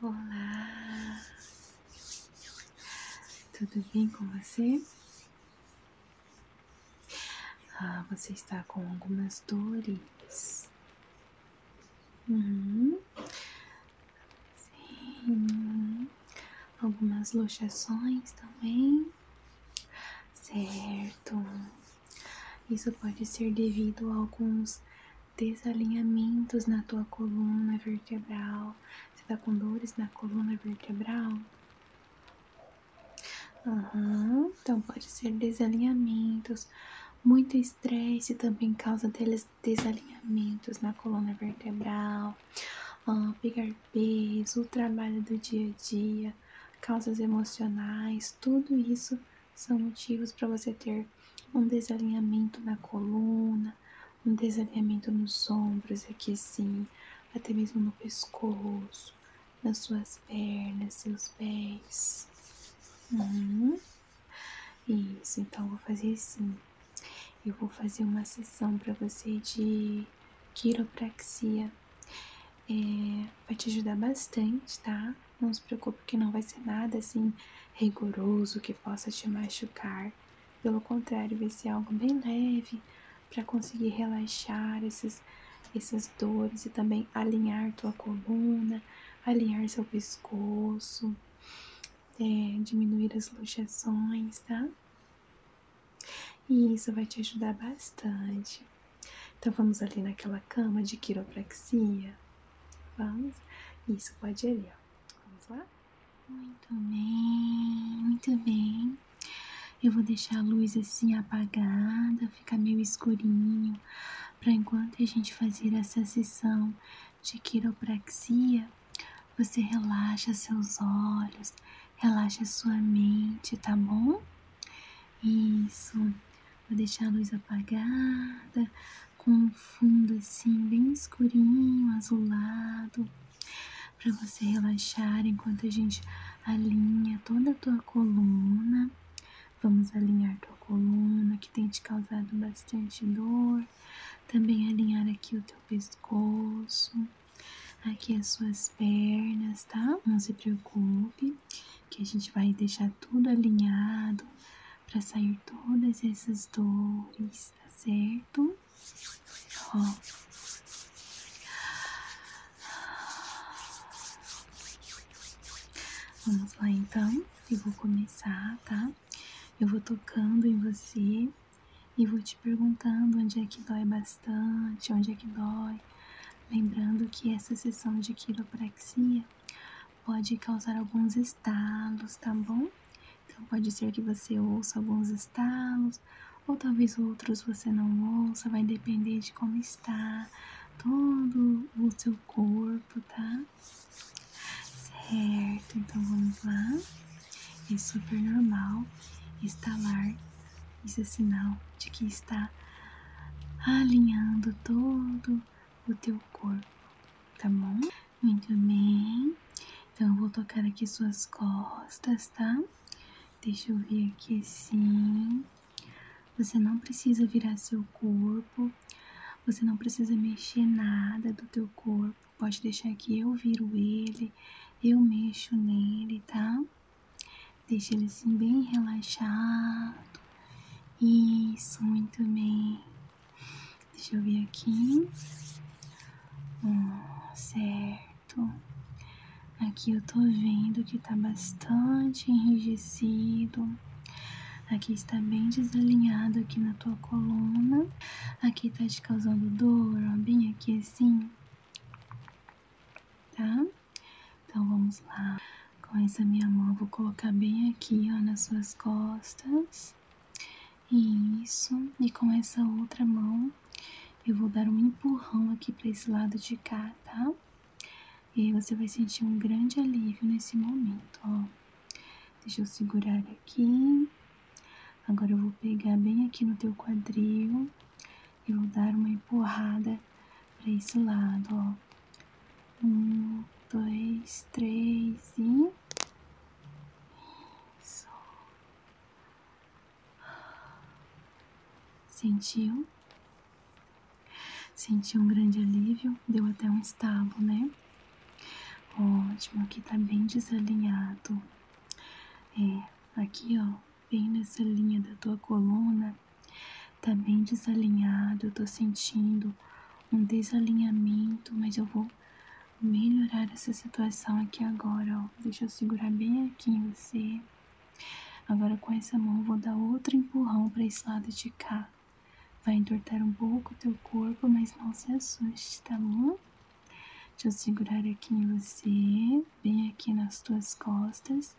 Olá, tudo bem com você? Ah, você está com algumas dores. Uhum. Sim, algumas luxações também. Certo, isso pode ser devido a alguns desalinhamentos na tua coluna vertebral. Você tá com dores na coluna vertebral? Uhum. Então pode ser desalinhamentos. Muito estresse também causa desalinhamentos na coluna vertebral. Ah, pegar peso, o trabalho do dia a dia, causas emocionais, tudo isso são motivos para você ter um desalinhamento na coluna, um desalinhamento nos ombros, aqui sim, até mesmo no pescoço, nas suas pernas, seus pés. Uhum. Isso, então vou fazer assim. Eu vou fazer uma sessão para você de quiropraxia. É, vai te ajudar bastante, tá? Não se preocupe que não vai ser nada assim rigoroso que possa te machucar. Pelo contrário, vai ser algo bem leve para conseguir relaxar esses, essas dores e também alinhar tua coluna, alinhar seu pescoço, é, diminuir as luxações, tá? E isso vai te ajudar bastante. Então vamos ali naquela cama de quiropraxia. Vamos? Isso, pode ir ali, ó. Vamos lá? Muito bem, muito bem. Eu vou deixar a luz assim apagada, ficar meio escurinho, para enquanto a gente fazer essa sessão de quiropraxia, você relaxa seus olhos, relaxa sua mente, tá bom? Isso. Vou deixar a luz apagada com um fundo assim bem escurinho, azulado, para você relaxar enquanto a gente alinha toda a tua coluna. Vamos alinhar tua coluna que tem te causado bastante dor. Também alinhar aqui o teu pescoço, aqui as suas pernas, tá? Não se preocupe que a gente vai deixar tudo alinhado para sair todas essas dores, tá certo? Ó. Vamos lá então, eu vou começar, tá? Eu vou tocando em você e vou te perguntando onde é que dói bastante, onde é que dói. Lembrando que essa sessão de quiropraxia pode causar alguns estalos, tá bom? Então pode ser que você ouça alguns estalos, ou talvez outros você não ouça, vai depender de como está todo o seu corpo, tá? Certo, então vamos lá. É super normal estalar, isso é sinal de que está alinhando todo o teu corpo, tá bom? Muito bem. Então vou tocar aqui suas costas, tá? Deixa eu ver aqui assim. Você não precisa virar seu corpo. Você não precisa mexer nada do teu corpo. Pode deixar que eu viro ele, eu mexo nele, tá? Deixa ele assim bem relaxado. Isso, muito bem. Deixa eu ver aqui. certo. Aqui eu tô vendo que tá bastante enrijecido. Aqui está bem desalinhado aqui na tua coluna. Aqui tá te causando dor, ó, bem aqui assim. Tá? Então vamos lá. Com essa minha mão, vou colocar bem aqui, ó, nas suas costas. Isso. E com essa outra mão, eu vou dar um empurrão aqui para esse lado de cá, tá? E aí você vai sentir um grande alívio nesse momento, ó. Deixa eu segurar aqui. Agora eu vou pegar bem aqui no teu quadril e vou dar uma empurrada para esse lado, ó. Um, dois, três e. Isso. Sentiu? Senti um grande alívio, deu até um estalo, né? Ótimo, aqui tá bem desalinhado. É, aqui ó, bem nessa linha da tua coluna, Tá bem desalinhado, eu tô sentindo um desalinhamento, mas eu vou melhorar essa situação aqui agora, ó. Deixa eu segurar bem aqui em você. Agora com essa mão vou dar outro empurrão para esse lado de cá. Vai entortar um pouco o teu corpo, mas não se assuste, tá bom? Deixa eu segurar aqui em você, bem aqui nas tuas costas.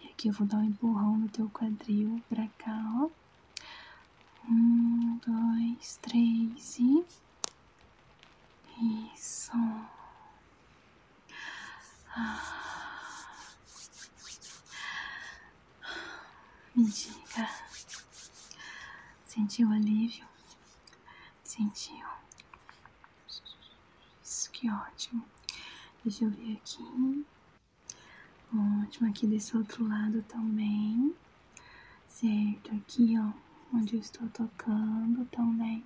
E aqui eu vou dar um empurrão no teu quadril pra cá, Um, dois, três e. Isso. Ah. Me diga. Sentiu alívio? Sentiu. Isso, que ótimo. Deixa eu ver aqui. Ótimo, aqui desse outro lado também. Certo, aqui ó, onde eu estou tocando também.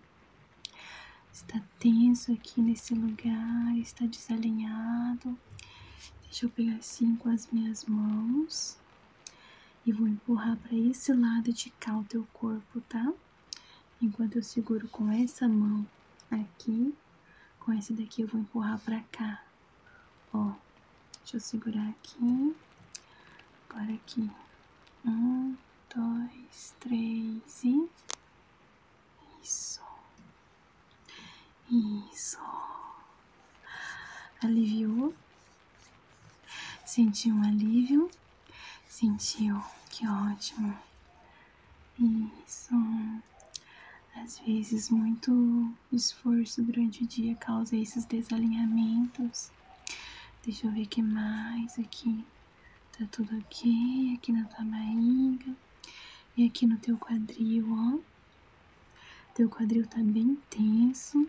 Está tenso aqui nesse lugar, está desalinhado. Deixa eu pegar assim com as minhas mãos e vou empurrar para esse lado de cá o teu corpo, tá? Enquanto eu seguro com essa mão aqui, com essa daqui eu vou empurrar pra cá. Ó, deixa eu segurar aqui, agora aqui. Um, dois, três e. Isso. Isso. Aliviou. Sentiu um alívio? Sentiu. Que ótimo. Isso. Às vezes, muito esforço durante o dia causa esses desalinhamentos. Deixa eu ver o que mais aqui. Tá tudo ok. Aqui na tua barriga. E aqui no teu quadril, ó. Teu quadril tá bem tenso.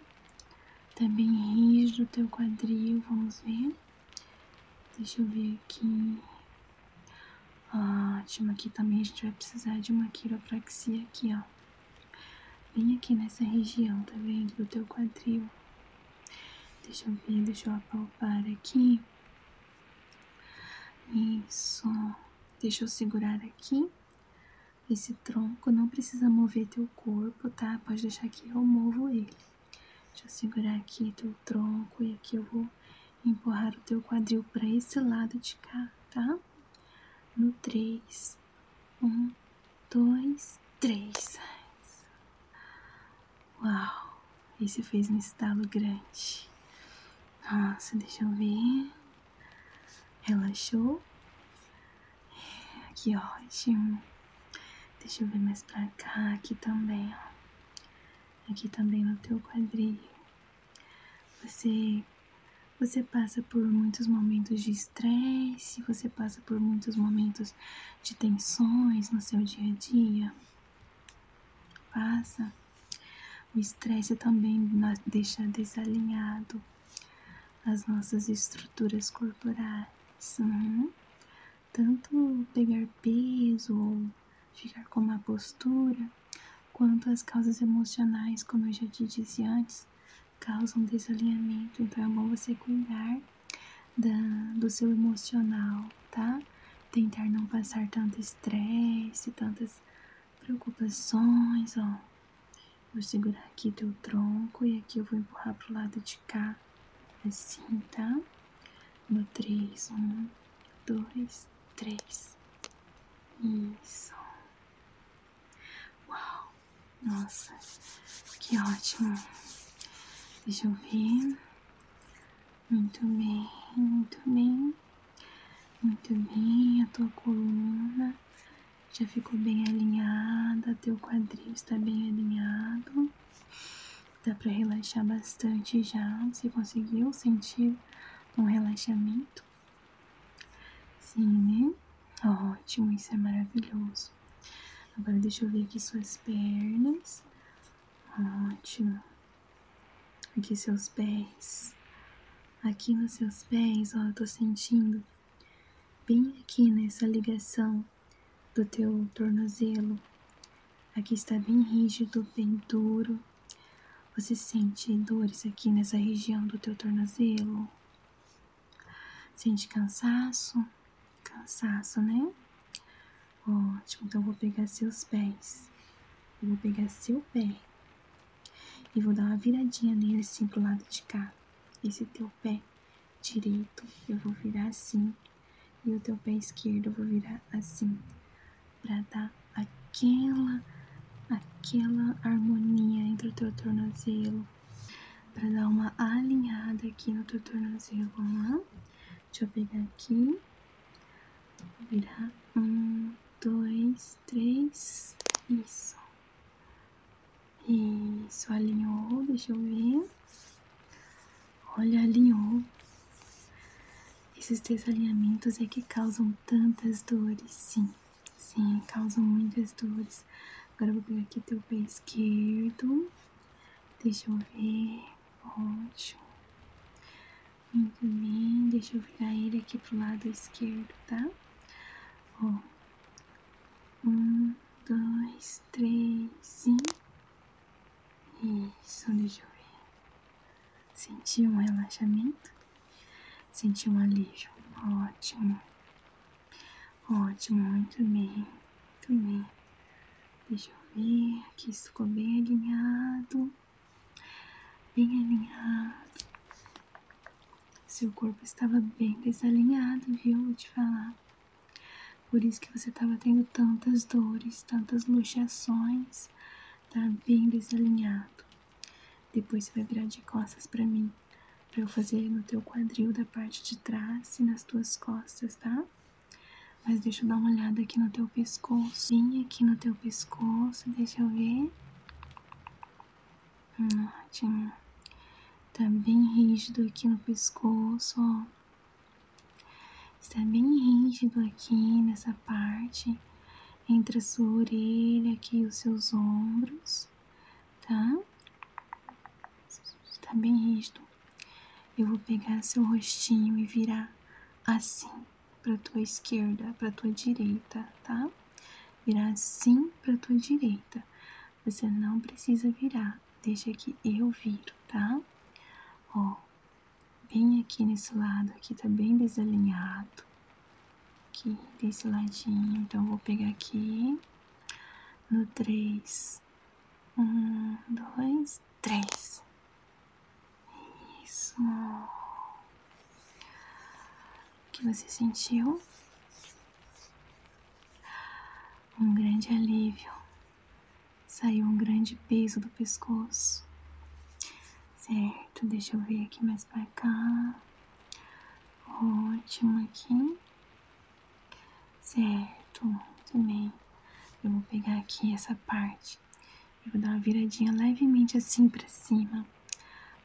Tá bem rígido o teu quadril. Vamos ver. Deixa eu ver aqui. Ótimo, ah, aqui também a gente vai precisar de uma quiropraxia aqui, ó. Bem aqui nessa região, tá vendo? Do teu quadril. Deixa eu ver, deixa eu apalpar aqui. Isso. Deixa eu segurar aqui esse tronco. Não precisa mover teu corpo, tá? Pode deixar que eu movo ele. Deixa eu segurar aqui teu tronco e aqui eu vou empurrar o teu quadril para esse lado de cá, tá? No 3, 1, 2, 3. Uau, esse fez um estalo grande. Nossa, deixa eu ver. Relaxou. Que ótimo. Deixa eu ver mais pra cá, aqui também, ó aqui também no teu quadril. Você você passa por muitos momentos de estresse, você passa por muitos momentos de tensões no seu dia a dia. Passa. O estresse também deixa desalinhado as nossas estruturas corporais. Uhum tanto pegar peso ou ficar com uma postura, quanto as causas emocionais, como eu já te disse antes, causam desalinhamento. Então é bom você cuidar do seu emocional, tá? Tentar não passar tanto estresse, tantas preocupações, ó. Vou segurar aqui teu tronco e aqui eu vou empurrar pro lado de esticar assim, tá? No 3, 1, 2, 3. Isso. Uau! Nossa, que ótimo. Deixa eu ver. Muito bem, muito bem. Muito bem, a tua coluna já ficou bem alinhada, teu quadril está bem alinhado. Dá para relaxar bastante já. Você conseguiu sentir um relaxamento? Sim, né? Ótimo, isso é maravilhoso. Agora deixa eu ver aqui suas pernas. Ótimo. Aqui seus pés. Aqui nos seus pés, ó, eu tô sentindo bem aqui nessa ligação do teu tornozelo. Aqui está bem rígido, bem duro. Você sente dores aqui nessa região do teu tornozelo? Sente cansaço? Cansaço, né? Ótimo, então vou pegar seus pés. vou pegar seu pé e vou dar uma viradinha nele assim pro lado de cá. Esse teu pé direito eu vou virar assim e o teu pé esquerdo eu vou virar assim para dar aquela aquela harmonia entre o teu tornozelo para dar uma alinhada aqui no teu tornozelo deixa eu pegar aqui virar um dois três isso isso alinhou deixa eu ver Olha, alinhou. Esses desalinhamentos é que causam tantas dores. Sim, sim, causam muitas dores. Agora eu vou pegar aqui teu pé esquerdo. Deixa eu ver. Ótimo. Muito bem. Deixa eu virar ele aqui pro lado esquerdo, tá? Ó. Um, dois, três, sim. Isso, deixa eu ver. Senti um relaxamento? Senti um alívio. Ótimo. Ótimo, muito bem. Muito bem. Deixa eu ver que isso ficou bem alinhado. Bem alinhado. Seu corpo estava bem desalinhado, viu? Vou te falar. Por isso que você estava tendo tantas dores, tantas luxações, tá bem desalinhado. Depois você vai virar de costas para mim, para eu fazer no teu quadril da parte de trás e nas tuas costas, tá? Mas deixa eu dar uma olhada aqui no teu pescoço. Vem aqui no teu pescoço, deixa eu ver. Hum, Tá bem rígido aqui no pescoço, ó. Está bem rígido aqui nessa parte entre a sua orelha aqui e os seus ombros, tá? Está bem rígido. Eu vou pegar seu rostinho e virar assim para tua esquerda, para tua direita, tá? Virar assim para tua direita. Você não precisa virar deixa que eu viro, tá? Ó, bem aqui nesse lado, aqui tá bem desalinhado. Aqui, desse ladinho. Então, vou pegar aqui. No 3. 1, 2, 3. Isso. O que você sentiu? Um grande alívio. Saiu um grande peso do pescoço. Certo, deixa eu ver aqui mais pra cá. Ótimo aqui. Certo, muito bem. Eu vou pegar aqui essa parte. Eu vou dar uma viradinha levemente assim pra cima.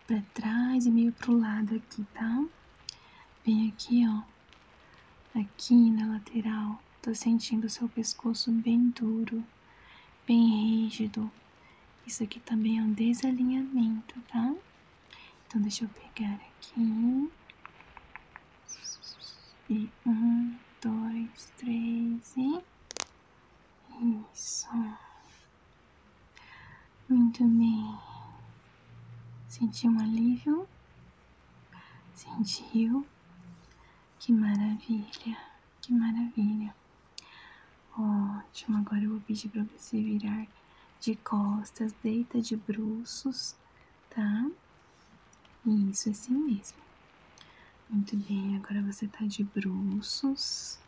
Pra trás e meio pro lado aqui, tá? Bem aqui, ó. Aqui na lateral, tô sentindo o seu pescoço bem duro, bem rígido. Isso aqui também é um desalinhamento, tá? Então deixa eu pegar aqui. E um, dois, três e. Isso. Muito bem. Sentiu um alívio? Sentiu? Que maravilha, que maravilha. Ótimo, agora eu vou pedir para você virar de costas, deita de bruços, tá? Isso, é assim mesmo. Muito bem, agora você tá de bruços.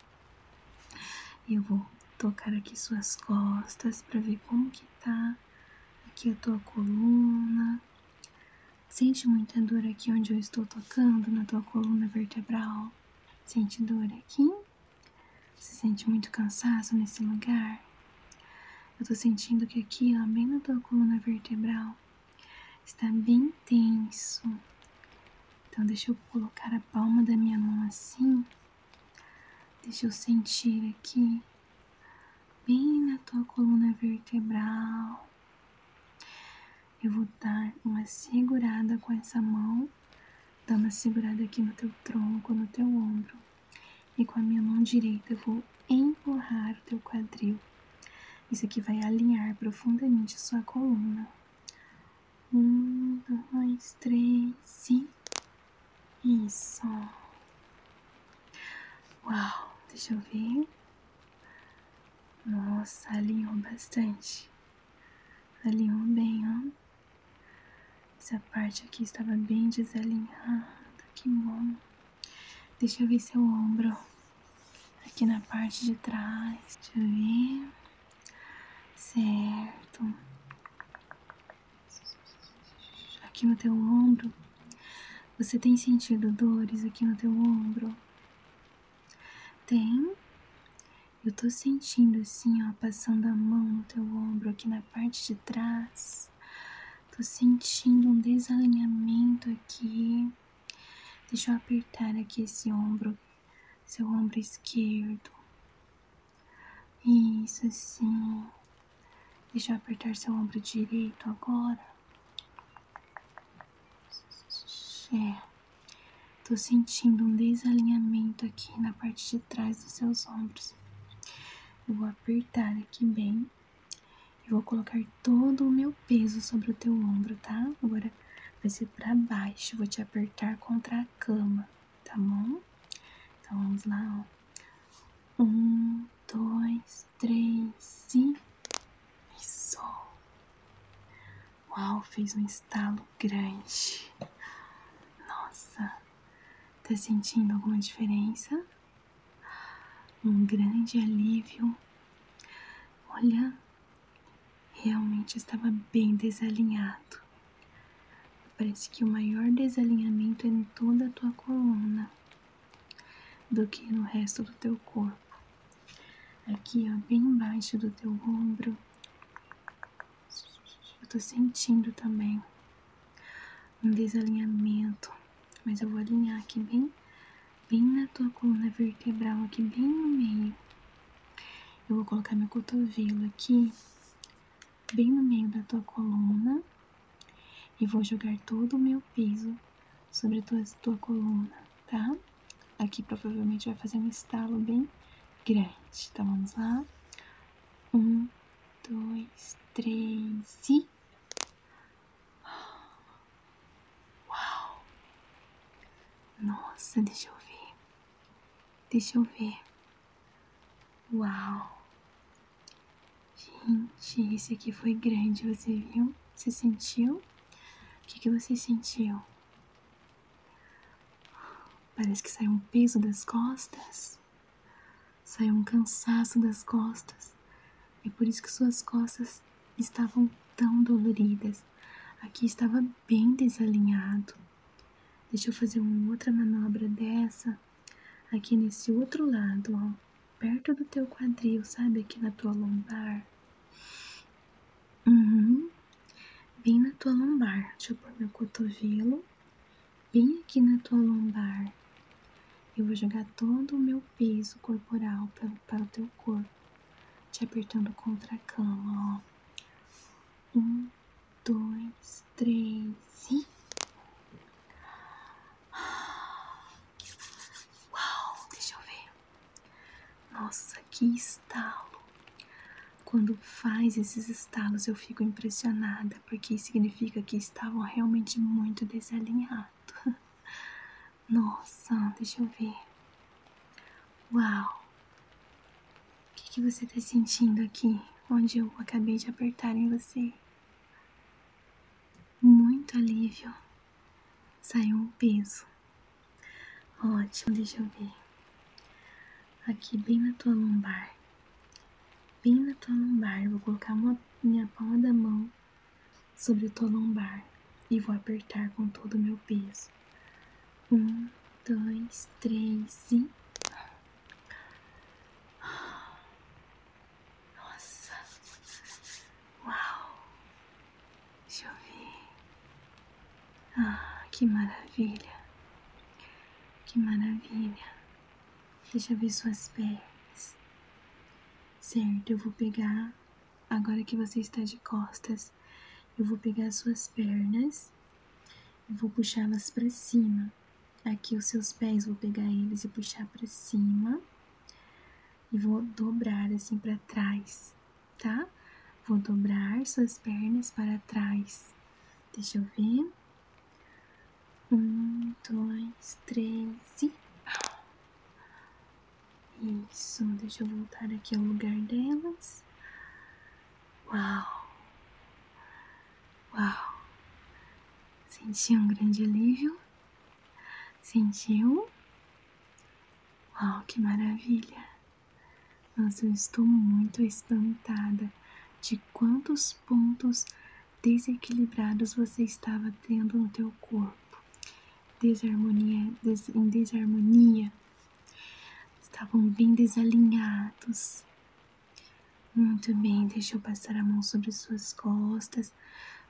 eu vou tocar aqui suas costas para ver como que tá aqui a tua coluna. Sente muita dor aqui onde eu estou tocando, na tua coluna vertebral. Sente dor aqui? Você sente muito cansaço nesse lugar? Eu tô sentindo que aqui, ó, bem na tua coluna vertebral, está bem tenso. Então, deixa eu colocar a palma da minha mão assim. Deixa eu sentir aqui bem na tua coluna vertebral. Eu vou dar uma segurada com essa mão, dar uma segurada aqui no teu tronco, no teu ombro, e com a minha mão direita eu vou empurrar o teu quadril. Isso aqui vai alinhar profundamente a sua coluna. Um, dois, três e isso. Uau, deixa eu ver. Nossa, alinhou bastante. Alinhou bem, ó. Essa parte aqui estava bem desalinhada. Que bom. Deixa eu ver seu ombro. Aqui na parte de trás. Deixa eu ver. Certo aqui no teu ombro. Você tem sentido dores aqui no teu ombro? Tem? Eu tô sentindo assim, ó, passando a mão no teu ombro aqui na parte de trás. Tô sentindo um desalinhamento aqui. Deixa eu apertar aqui esse ombro, seu ombro esquerdo. Isso sim. Deixa eu apertar seu ombro direito agora. É. Tô sentindo um desalinhamento aqui na parte de trás dos seus ombros. vou apertar aqui bem. E vou colocar todo o meu peso sobre o teu ombro, tá? Agora vai ser pra baixo. Vou te apertar contra a cama tá bom? Então vamos lá, Um, dois, três e. sol Uau, fez um estalo grande. Nossa! Tá sentindo alguma diferença? Um grande alívio. Olha, realmente estava bem desalinhado. Parece que o maior desalinhamento é em toda a tua coluna do que no resto do teu corpo. Aqui, ó, bem embaixo do teu ombro. Eu tô sentindo também um desalinhamento, mas eu vou alinhar aqui bem, bem na tua coluna vertebral, aqui bem no meio. Eu vou colocar meu cotovelo aqui bem no meio da tua coluna e vou jogar todo o meu peso sobre a tua, coluna, tá? Aqui provavelmente vai fazer um estalo bem grande. Então vamos lá. Um, dois, três e. Uau! Nossa, deixa eu ver. Deixa eu ver. Uau! Gente, esse aqui foi grande, você viu? Você sentiu? O que, você sentiu? Parece que saiu um peso das costas. Saiu um cansaço das costas. É por isso que suas costas estavam tão doloridas. Aqui estava bem desalinhado. Deixa eu fazer uma outra manobra dessa aqui nesse outro lado, ó, perto do teu quadril, sabe? Aqui na tua lombar. Uhum. Bem na tua lombar. Deixa eu pôr meu cotovelo. Bem aqui na tua lombar. Eu vou jogar todo o meu peso corporal para, o teu corpo, te apertando contra a cama, ó. Um, dois, três e. Uau! Deixa eu ver. Nossa, que estalo! Quando faz esses estalos eu fico impressionada, porque significa que estavam realmente muito desalinhados. Nossa, deixa eu ver. Uau! O que, você está sentindo aqui, onde eu acabei de apertar em você? Muito alívio. Saiu um peso. Ótimo, deixa eu ver. Aqui bem na tua lombar. Bem na tua lombar. Eu vou colocar minha palma da mão sobre a tua lombar e vou apertar com todo o meu peso. Um, dois, três e. Nossa! Uau! Deixa eu ver. Ah, que maravilha! Que maravilha! Deixa eu ver suas pernas. Certo, eu vou pegar agora que você está de costas. Eu vou pegar suas pernas e vou puxá-las para cima. Aqui os seus pés, vou pegar eles e puxar para cima. E vou dobrar assim para trás, tá? Vou dobrar suas pernas para trás. Deixa eu ver. Um, dois, três Isso, deixa eu voltar aqui ao lugar delas. Uau! Uau! Sentiu um grande alívio? Sentiu? Uau, que maravilha! Mas eu estou muito espantada de quantos pontos desequilibrados você estava tendo no teu corpo. em desarmonia Estavam bem desalinhados. Muito bem, deixa eu passar a mão sobre suas costas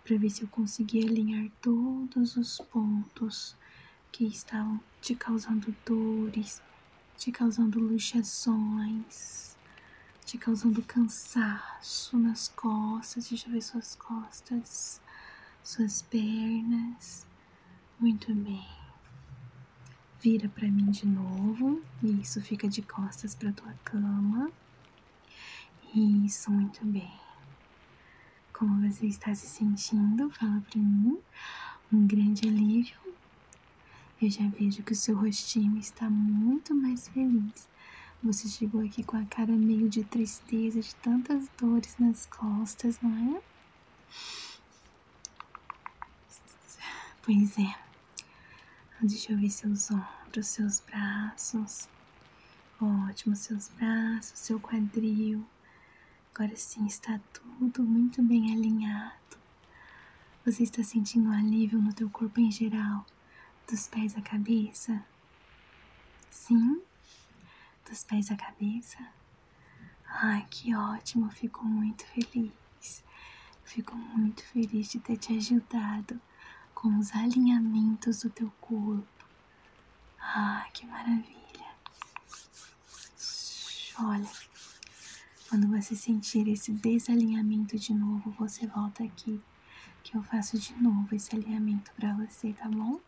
para ver se eu consegui alinhar todos os pontos que estavam te causando dores, te causando luxações, te causando cansaço nas costas. Deixa eu ver suas costas, suas pernas, muito bem. Vira para mim de novo. Isso, fica de costas para tua cama. Isso, muito bem. Como você está se sentindo? Fala para mim. Um grande alívio. Eu já vejo que o seu rostinho está muito mais feliz. Você chegou aqui com a cara meio de tristeza, de tantas dores nas costas, não é? Pois é. Deixa eu ver seus ombros, seus braços. Ótimo, seus braços, seu quadril. Agora sim está tudo muito bem alinhado. Você está sentindo um alívio no teu corpo em geral, dos pés à cabeça? Sim? dos pés à cabeça. Ah, que ótimo, fico muito feliz. Fico muito feliz de ter te ajudado com os alinhamentos do teu corpo. Ah, que maravilha! Olha, quando você sentir esse desalinhamento de novo, você volta aqui que eu faço de novo esse alinhamento para você, tá bom?